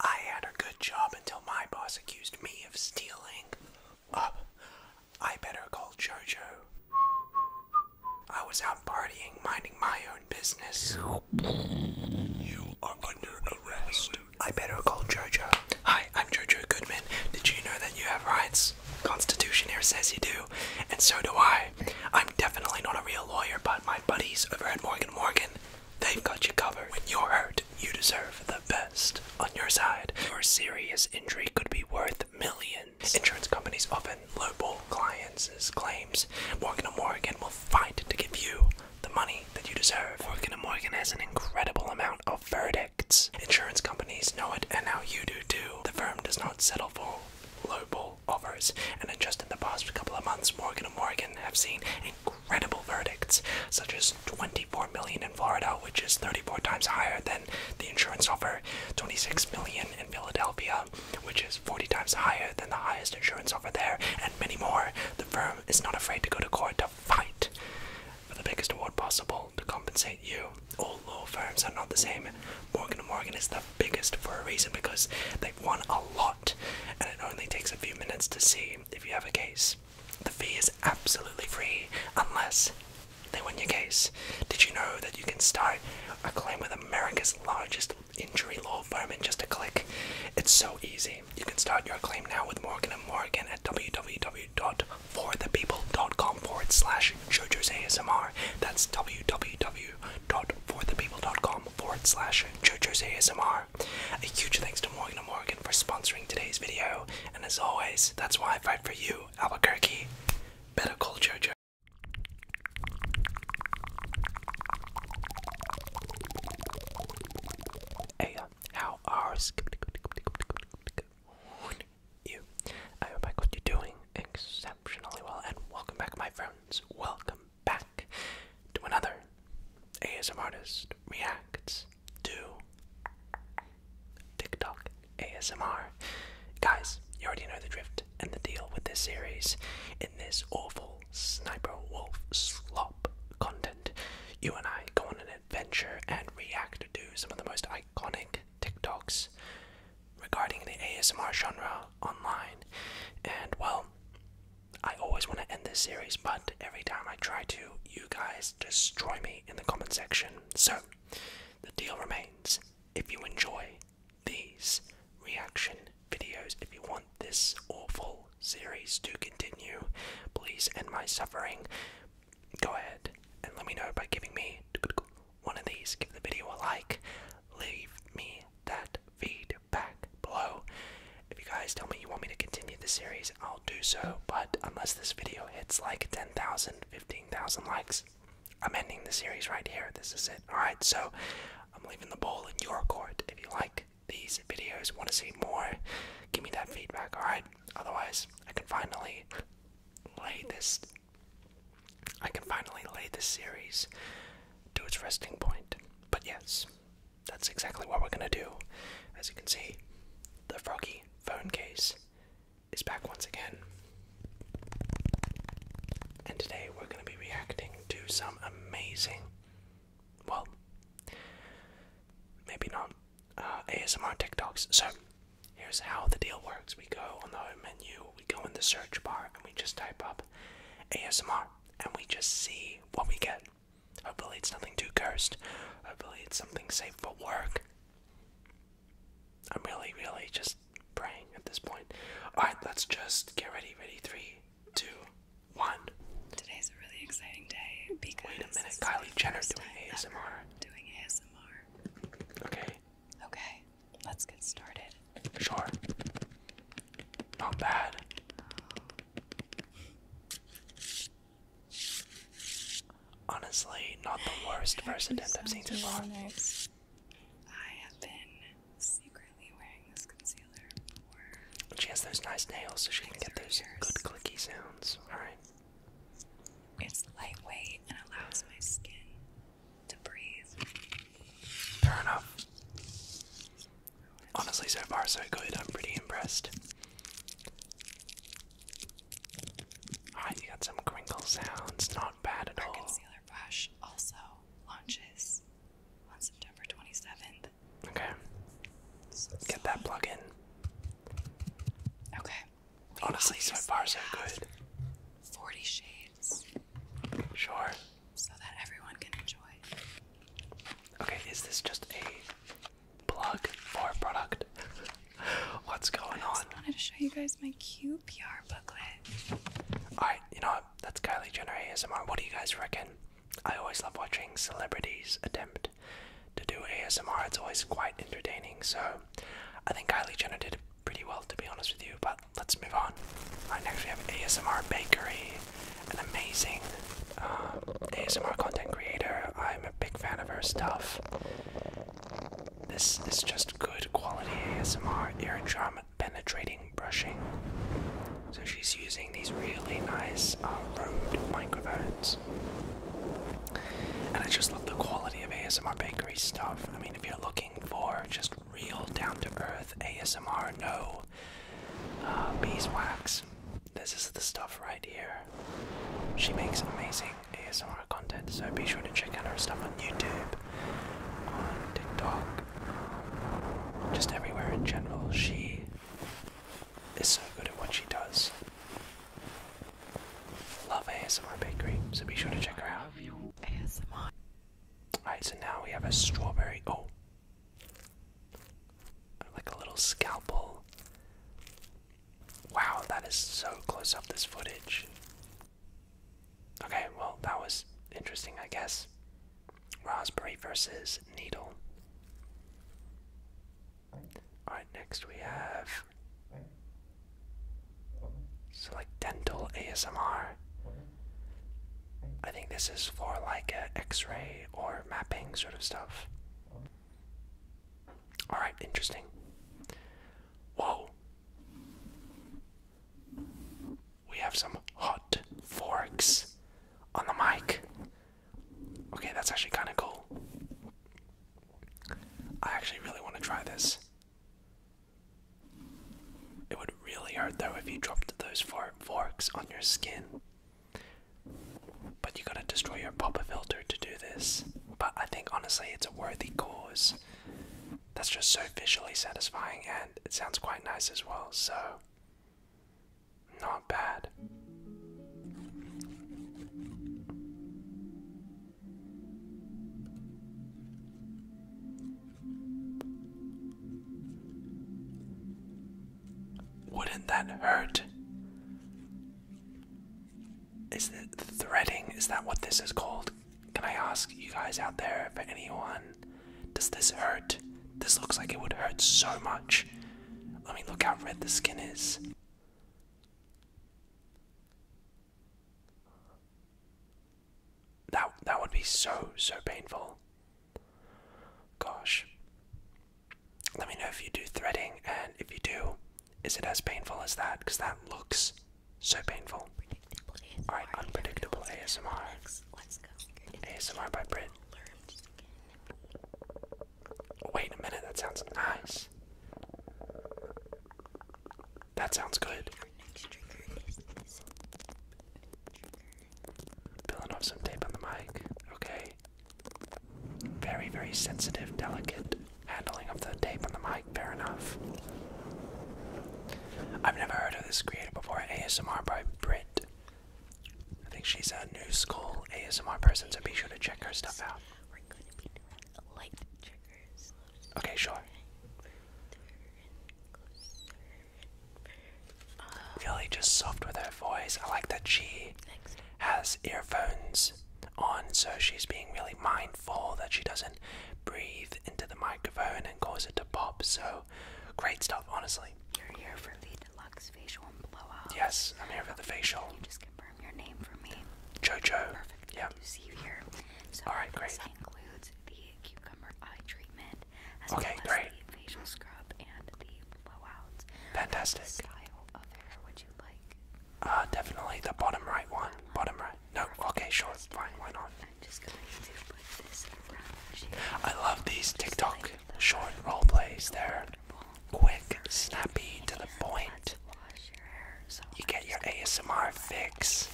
I had a good job until my boss accused me of stealing. Up. I better call Jojo. I was out partying, minding my own business. You are under arrest. I better call Jojo. Hi, I'm Jojo Goodman. Did you know that you have rights? Constitution here says you do, and so do I. I'm definitely not a real lawyer, but my buddies over at Morgan Morgan they've got you covered. When you're hurt, you deserve the best on your side. a serious injury could be worth millions. Insurance companies often lowball clients' claims. Morgan & Morgan will fight to give you the money that you deserve. Morgan & Morgan has an incredible amount of verdicts. Insurance companies know it, and now you do too. The firm does not settle for lowball rollovers, and just in the past couple of months, Morgan & Morgan have seen incredible verdicts, such as 24 million in Florida, which is 34 times higher than the insurance offer, 26 million in Philadelphia, which is 40 times higher than the highest insurance offer there, and many more. The firm is not afraid to go to court to fight for the biggest award possible to compensate you. All law firms are not the same. Morgan & Morgan is the biggest for a reason because they've won a lot and it only takes a few minutes to see if you have a case. The fee is absolutely free unless they win your case. Did you know that you can start a claim with America's largest injury law firm in just a click? It's so easy. You can start your claim now with Morgan & Morgan at www.forthepeople.com forward slash JoJo's ASMR. That's www www.forthepeople.com forward slash JoJo's ASMR. A huge thanks to Morgan & Morgan for sponsoring today's video, and as always, that's why I fight for you, Albuquerque. Better call JoJo. Hey, uh, how are you? I hope I got you doing exceptionally well, and welcome back, my friends. Welcome back to another ASMR Artist Reacts to TikTok ASMR. Guys, you already know the drift and the deal with this series. In this awful Sniper Wolf slop content, you and I go on an adventure and react to some of the most iconic TikToks regarding the ASMR genre online. And well, I always want to end this series, but every time I try to, you guys destroy me in the comment section. So, the deal remains. If you enjoy these reaction videos, if you want this awful series to continue, please end my suffering. Go ahead and let me know by giving me one of these. Give the video a like. Leave me that feedback below. If you guys tell me you want me to continue the series, I'll do so. But unless this video hits like 10,000, 15,000 likes, I'm ending the series right here. This is it. Alright, so I'm leaving the ball in your court. If you like these videos, want to see more, give me that feedback, alright? Otherwise, I can finally lay this. I can finally lay this series to its resting point. But yes, that's exactly what we're gonna do. As you can see, the froggy phone case is back once again. And today we're gonna be reacting to some amazing, well, maybe not, uh, ASMR TikToks. So here's how the deal works. We go on the home menu, we go in the search bar, and we just type up ASMR and we just see what we get. Hopefully, it's nothing too cursed. Hopefully, it's something safe for work. I'm really, really just praying at this point. Alright, let's just get ready. Ready? Three, two, one. Today's a really exciting day because. Wait a minute, Kylie Jenner doing ASMR. Doing ASMR. Okay. Okay, let's get started. Sure. Not bad. Honestly, not the worst person I've seen so far. I have been secretly wearing this concealer She has those nice nails, so she can get those good clicky sounds. Alright. It's lightweight and allows my skin to breathe. Fair enough. Honestly, so far so good. I'm pretty impressed. Alright, you got some crinkle sounds. Not bad at Our concealer brush also launches on September 27th. Okay. Get that plug in. Okay. Honestly, so far so good. 40 shades. Sure. Okay, is this just a plug for a product? What's going on? I just wanted to show you guys my QPR booklet. Alright, you know That's Kylie Jenner ASMR. What do you guys reckon? I always love watching celebrities attempt to do ASMR. It's always quite entertaining. So I think Kylie Jenner did pretty well, to be honest with you. But let's move on. Alright, next we have ASMR Bakery, an amazing uh, ASMR content creator. I'm a big fan of her stuff. This is just good quality ASMR ear eardrum penetrating brushing. So she's using these really nice uh, Rode microphones. And I just love the quality of ASMR Bakery stuff. I mean, if you're looking for just real down to earth ASMR, no uh, beeswax. This is the stuff right here. She makes amazing ASMR content, so be sure to check out her stuff on YouTube, on TikTok, just everywhere in general. She is so good at what she does. Love ASMR Bakery, so be sure to check her out. Alright, so now we have a strawberry. Oh, like a little scalpel. Wow, that is so close up this footage. Okay, well, that was interesting, I guess. Raspberry versus needle. Alright, next we have. So, like dental ASMR. I think this is for like x X-ray or mapping sort of stuff. All right, interesting. Whoa. We have some hot forks on the mic. Okay, that's actually kind of cool. I actually really want to try this. It would really hurt though if you dropped those forks on your skin. But you gotta destroy your popper filter to do this. But I think honestly it's a worthy cause. That's just so visually satisfying and it sounds quite nice as well, so not bad. Wouldn't that hurt? Is it threading? Is that what this is called? Can I ask you guys out there, if anyone, does this hurt? This looks like it would hurt so much. I mean, look how red the skin is. That that would be so so painful. Gosh. Let me know if you do threading, and if you do, is it as painful as that? Because that looks so painful. Alright, unpredictable ASMR. Let's, go. ASMR by Brit. Wait a minute, that sounds nice. That sounds good. Peeling off some tape on the mic. Okay. Very, very sensitive, delicate handling of the tape on the mic. Fair enough. I've never heard of this creator before. ASMR by Brit. I think she's a new school ASMR person, so be sure to check her stuff out. Okay, sure. Uh, really just soft with her voice. I like that she has earphones on, so she's being really mindful that she doesn't breathe into the microphone and cause it to pop. So great stuff, honestly. You're here for the deluxe facial and blow up. Yes, I'm here for the facial. just confirm your name for me? Jojo. Perfect. Yeah. see here. All right, great. This includes the cucumber eye treatment, okay, great. facial scrub and the blowouts. Fantastic. What uh, definitely the bottom right one. Bottom right. No, okay, sure, fine, why not? i love these TikTok short roll plays. They're quick, snappy, to the point. You get your ASMR fix.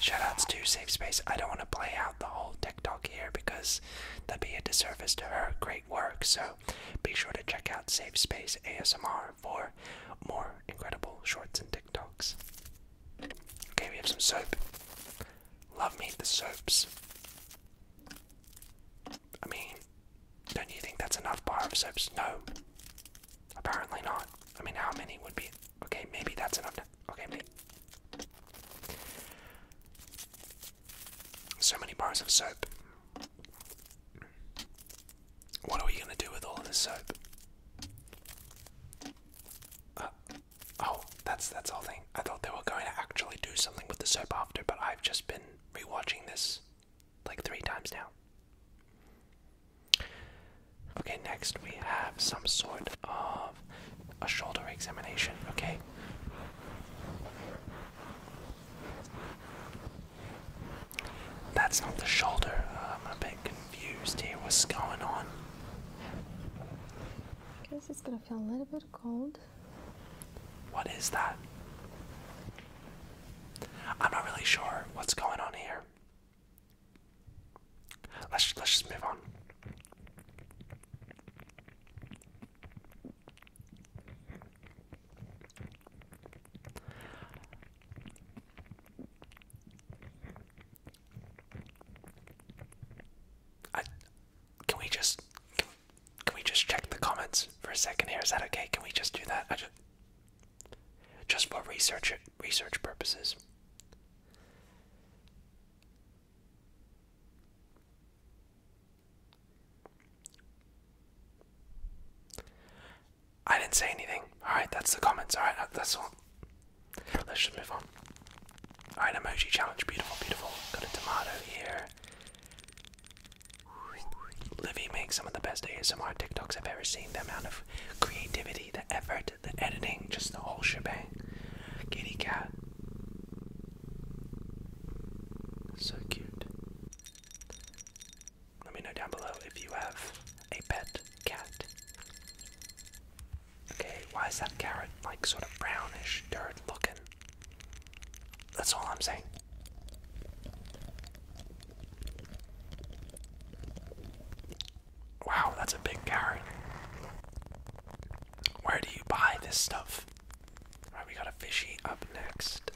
Shoutouts to Safe Space. I don't want to play out the whole TikTok here because that'd be a disservice to her great work. So be sure to check out Safe Space ASMR for more incredible shorts and TikToks. Okay, we have some soap. Love me the soaps. I mean, don't you think that's enough bar of soaps? No. Apparently not. I mean, how many would be? Okay, maybe that's enough Okay, mate. So many bars of soap. What are we gonna do with all of this soap? Uh, oh, that's that's all thing. I thought they were going to actually do something with the soap after, but I've just been rewatching this like three times now. Okay, next we have some sort of a shoulder examination, okay? That's not the shoulder. I'm a bit confused here. What's going on? I guess it's gonna feel a little bit cold. What is that? I'm not really sure what's going on here. Let's let's just move on. I, can we just can, we just check the comments for a second here? Is that okay? Can we just do that? just just for research research purposes. I didn't say anything. Alright, that's the comments. Alright, that's all. Let's just move on. Alright, emoji challenge. Beautiful, beautiful. Got a tomato here. Livy makes some of the best ASMR TikToks I've ever seen. The amount of creativity, the effort, the editing, just the whole shebang. Kitty cat. So cute. Let me know down below if you have a pet cat. Okay, why is that carrot like sort of brownish, dirt looking? That's all I'm saying. Wow, that's a big carrot. Where do you buy this stuff? Alright, we got a fishy up next.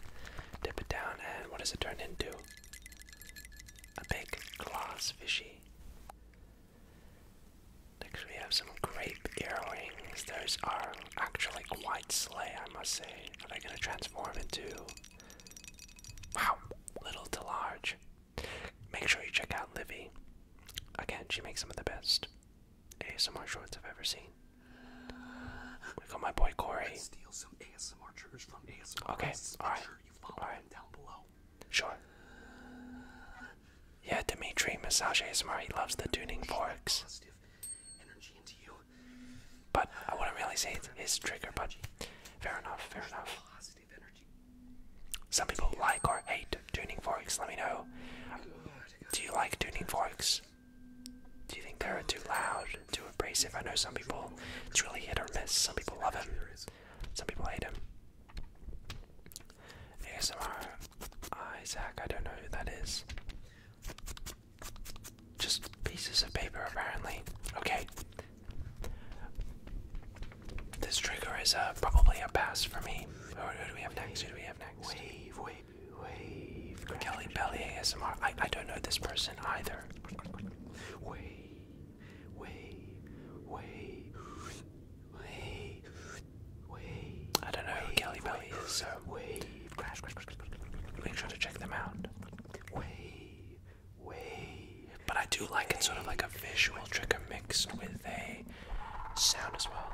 Dip it down, and what does it turn into? A big glass fishy. Next, we have some grape earrings. Those are actually quite slay, I must say. Are they going to transform into. Wow, little to large. Make sure you check out Livy. Again, she makes some of the best ASMR shorts I've ever seen. We got my boy Corey. Okay, alright. Sure Yeah, Dimitri, massage ASMR, he loves the tuning forks. Energy into you. But I wouldn't really say it's trigger, but fair enough, fair enough. Some people like or hate tuning forks. Let me know. Do you like tuning forks? Do you think they're too loud, too abrasive? I know some people. It's really hit or miss. Some people love him. Some people hate him. ASMR Isaac. I don't know who that is. Just pieces of paper, apparently. Okay. This trigger is uh, probably a pass for me. Who, do we have next? Who do we have next? Wave, wave, wave. Kelly Belly ASMR. I, I don't know this person either. Wave, wave, wave, wave, wave. I don't know wave, who Kelly Belly wave, is, so wave, crash, crash, crash, crash, crash, make sure to check them out. Wave, wave. But I do like it, sort of like a visual trigger mixed with a sound as well.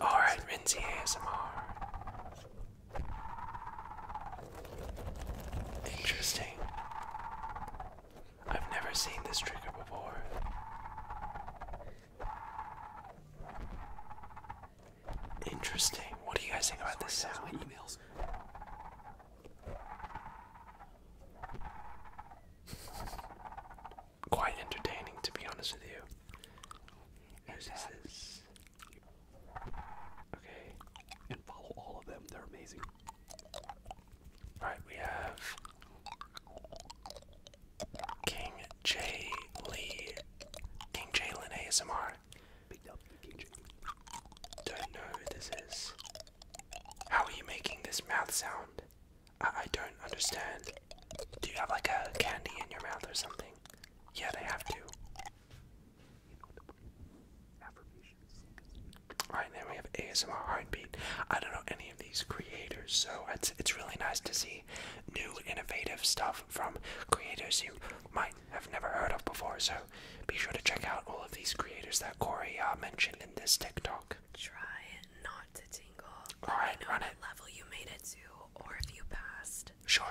Alright, Rinzy ASMR. Interesting. I've never seen this trigger before. Interesting. What do you guys think about this sound? Quite entertaining, to be honest with you. Who's is Okay, and follow all of them, they're amazing. Alright, we have King J. Lee, King Jalen ASMR. Don't know who this is. How are you making this mouth sound? I, I don't understand. Do you have like a candy in your mouth or something? Yeah, they have to. Alright, then we have ASMR Heartbeat. I don't know any of these creators, so it's, it's really nice to see new innovative stuff from creators you might have never heard of before. So be sure to check out all of these creators that Corey uh, mentioned in this TikTok. Try not to tingle. All right, know run it. Level you made it to, or if you passed. Sure.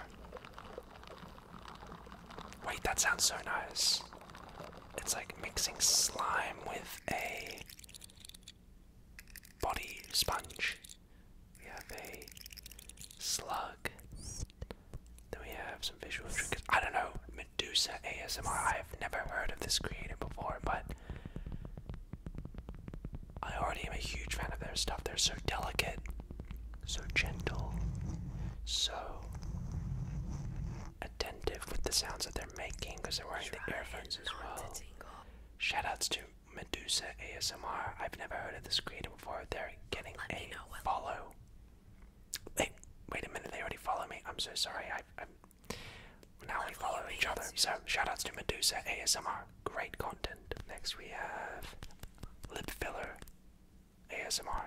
Wait, that sounds so nice. It's like mixing slime with a body sponge. We have a slug. Then we have some visual triggers. I don't know. Medusa ASMR. I have never heard of this creator before, but I already am a huge fan of their stuff. They're so delicate, so gentle, so attentive with the sounds that they're making because they're wearing the earphones as well. Shoutouts to Medusa ASMR. I've never heard of this creator before. They're getting a follow. Hey, wait a minute, they already follow me. I'm so sorry now we follow each other. So shoutouts to Medusa ASMR, great content. Next we have lip filler ASMR.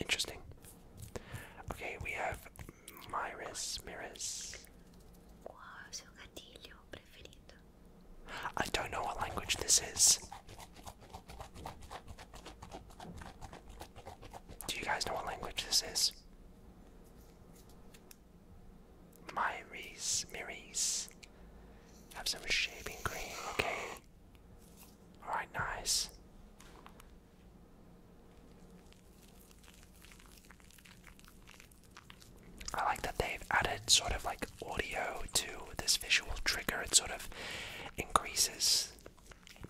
Interesting. Okay, we have Myris Miris. I don't know what language this is. Do you guys know what language this is? Myris, Miris. Have some shaving cream, okay. Alright, nice. I like that they've added sort of like audio to this visual trigger. It sort of increases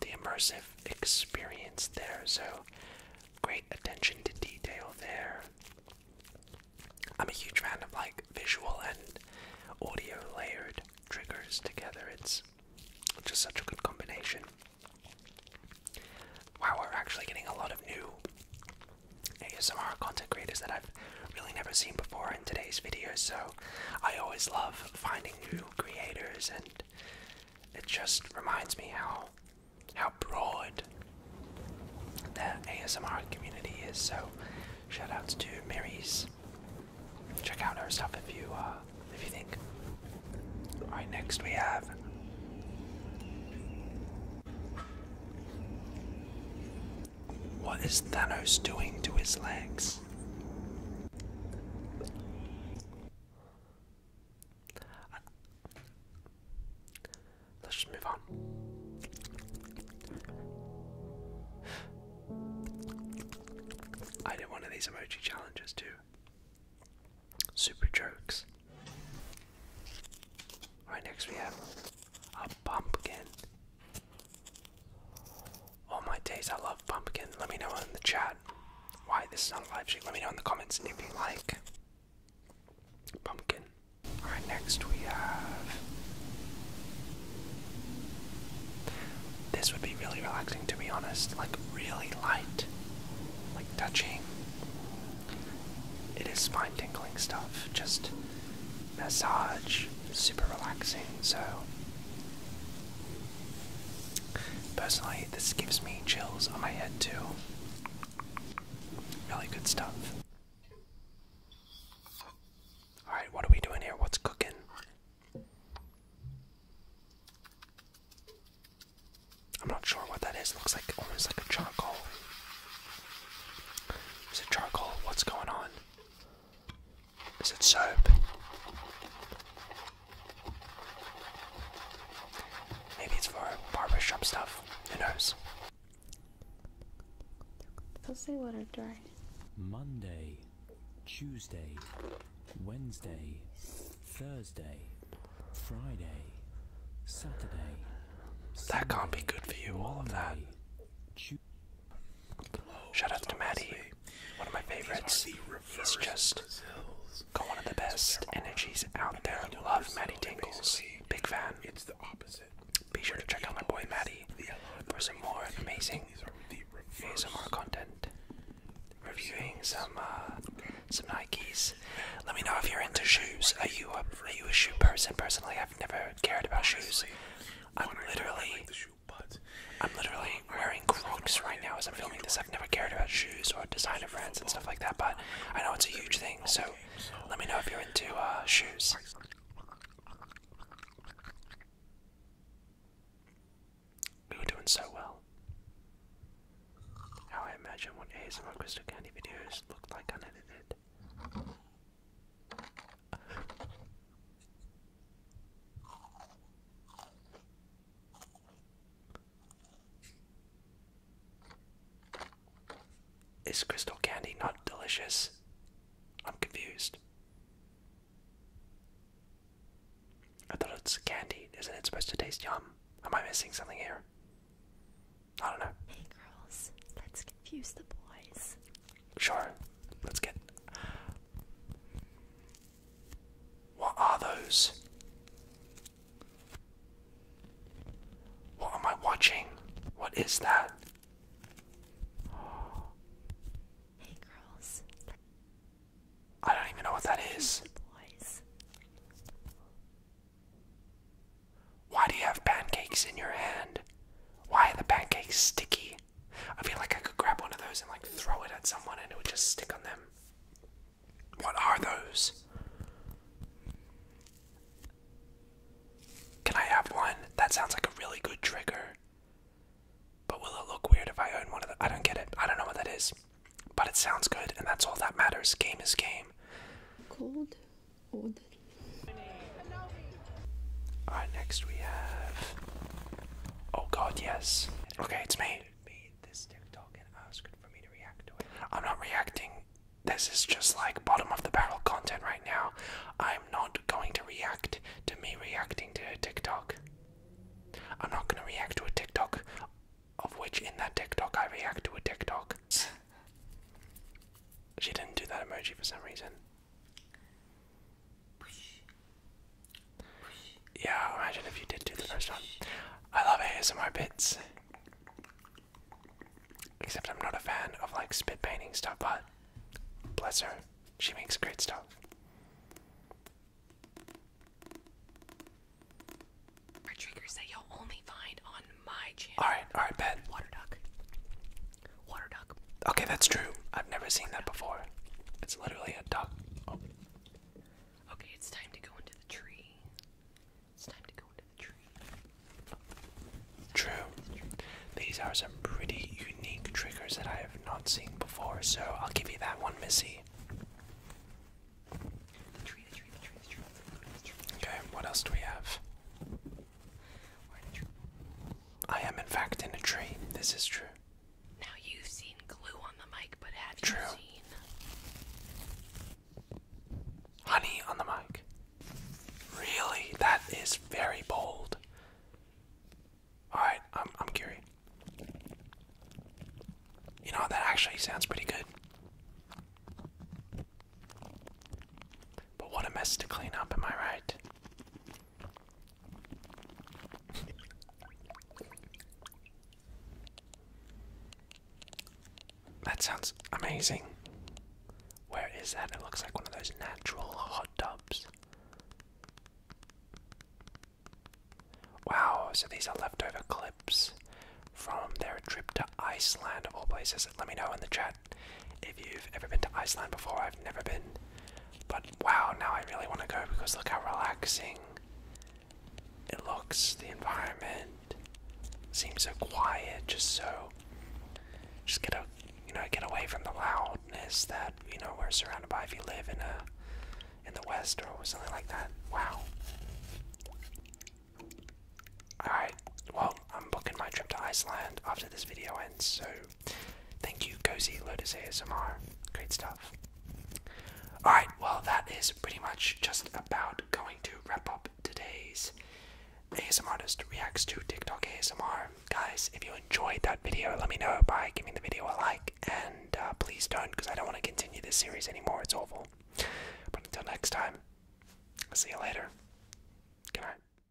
the immersive experience there. So, great attention to detail there. I'm a huge fan of like visual and audio layered triggers together. It's just such a good combination. Wow, we're actually getting a lot of new ASMR content creators that I've really never seen before in today's video. So I always love finding new creators, and it just reminds me how how broad the ASMR community is. So shout outs to Mary's. Check out her stuff if you uh, if you think. All right, next we have. What is Thanos doing to his legs? Let's just move on. I did one of these emoji challenges too. Super jokes. Alright, next we have uh, pumpkin. all my days, I love pumpkin. Let me know in the chat why this is not a live stream. Let me know in the comments if you like pumpkin. Alright, next we have. This would be really relaxing to be honest. Like, really light. Like, touching. It is spine tingling stuff. Just massage, super relaxing. So, personally, this gives me chills on my head too. Really good stuff. Alright, what are we doing here? What's cooking? I'm not sure what that is. Looks like almost like a charcoal. Is it charcoal? What's going on? Is it soap? Maybe it's for barbershop stuff. Who knows? They'll say what are dry. Monday, Tuesday, Wednesday, Thursday, Friday, Saturday. That can't be good for you, all of that you. Shout out to Maddie, one of my favorites. He's just got one of the best energies out there. Love Maddie Tingles, big fan. It's the opposite. Be sure to check out my boy Maddie for some more amazing ASMR content. Reviewing some uh, some Nikes. Let me know if you're into shoes. Are you a are you a shoe person? Personally, I've never cared about shoes. I'm literally, I am literally wearing Crocs right now as I'm filming this. I've never cared about shoes or designer brands and stuff like that, but I know it's a huge thing. So let me know if you're into uh, shoes. We were doing so well. Now I imagine what ASMR Crystal Candy videos looked like unedited. Is crystal candy not delicious? I'm confused. I thought it's candy. Isn't it supposed to taste yum? Am I missing something here? I don't know. Hey girls, let's confuse the boys. Sure, let's get. What are those? What am I watching? What is that? Hey girls. I don't even know what that is. Boys. Why do you have pancakes in your hand? Why are the pancakes sticky? I feel like I could grab one of those and like throw it at someone and it would just stick on them. What are those? Can I have one? That sounds like a really good trigger. But will it look weird if I own one of the. I don't get it. I don't know what that is. But it sounds good and that's all that matters. Game is game. Cold Alright, next we have. Oh god, yes. Okay, it's me. I'm not reacting. This is just like bottom of the barrel content right now. I'm not going to react to me reacting to a TikTok. I'm not going to react to a TikTok of which in that TikTok I react to a TikTok. She didn't do that emoji for some reason. Yeah, imagine if you did do the first one. I love ASMR bits. Except I'm not a fan of like spit painting stuff, but bless her, she makes great stuff. triggers that you'll only find on my channel. Alright, alright, bet. Water duck. Water duck. Okay, that's true. I've never seen that before. It's literally a duck. Oh. Okay, it's time to go into the tree. It's time to go into the tree. True. The tree. These are some pretty unique triggers that I have not seen before, so I'll give you that one, Missy. Okay, what else do we have? I am, in fact, in a tree. This is true. Now, you've seen glue on the mic, but have you seen honey on the mic? Really? That is very bold. Alright, I'm, I'm curious. You know, that actually sounds pretty good. But what a mess to clean up, am I right? That sounds amazing. Where is that? It looks like one of those natural hot tubs. Wow, so these are leftover clips from their trip to Iceland of all places. Let me know in the chat if you've ever been to Iceland before, I've never been. But wow, now I really want to go because look how relaxing it looks. The environment seems so quiet, just so. Just get a, you know, get away from the loudness that you know we're surrounded by if you live in a, in the West or something like that. Wow. Alright, well, I'm booking my trip to Iceland after this video ends, so Thank you, Cozy Lotus ASMR. Great stuff. Alright, well, that is pretty much just about going to wrap up today's ASM Artist Reacts to TikTok ASMR. Guys, if you enjoyed that video, let me know by giving the video a like, and uh, please don't, because I don't want to continue this series anymore. It's awful. But until next time, I'll see you later. Good night.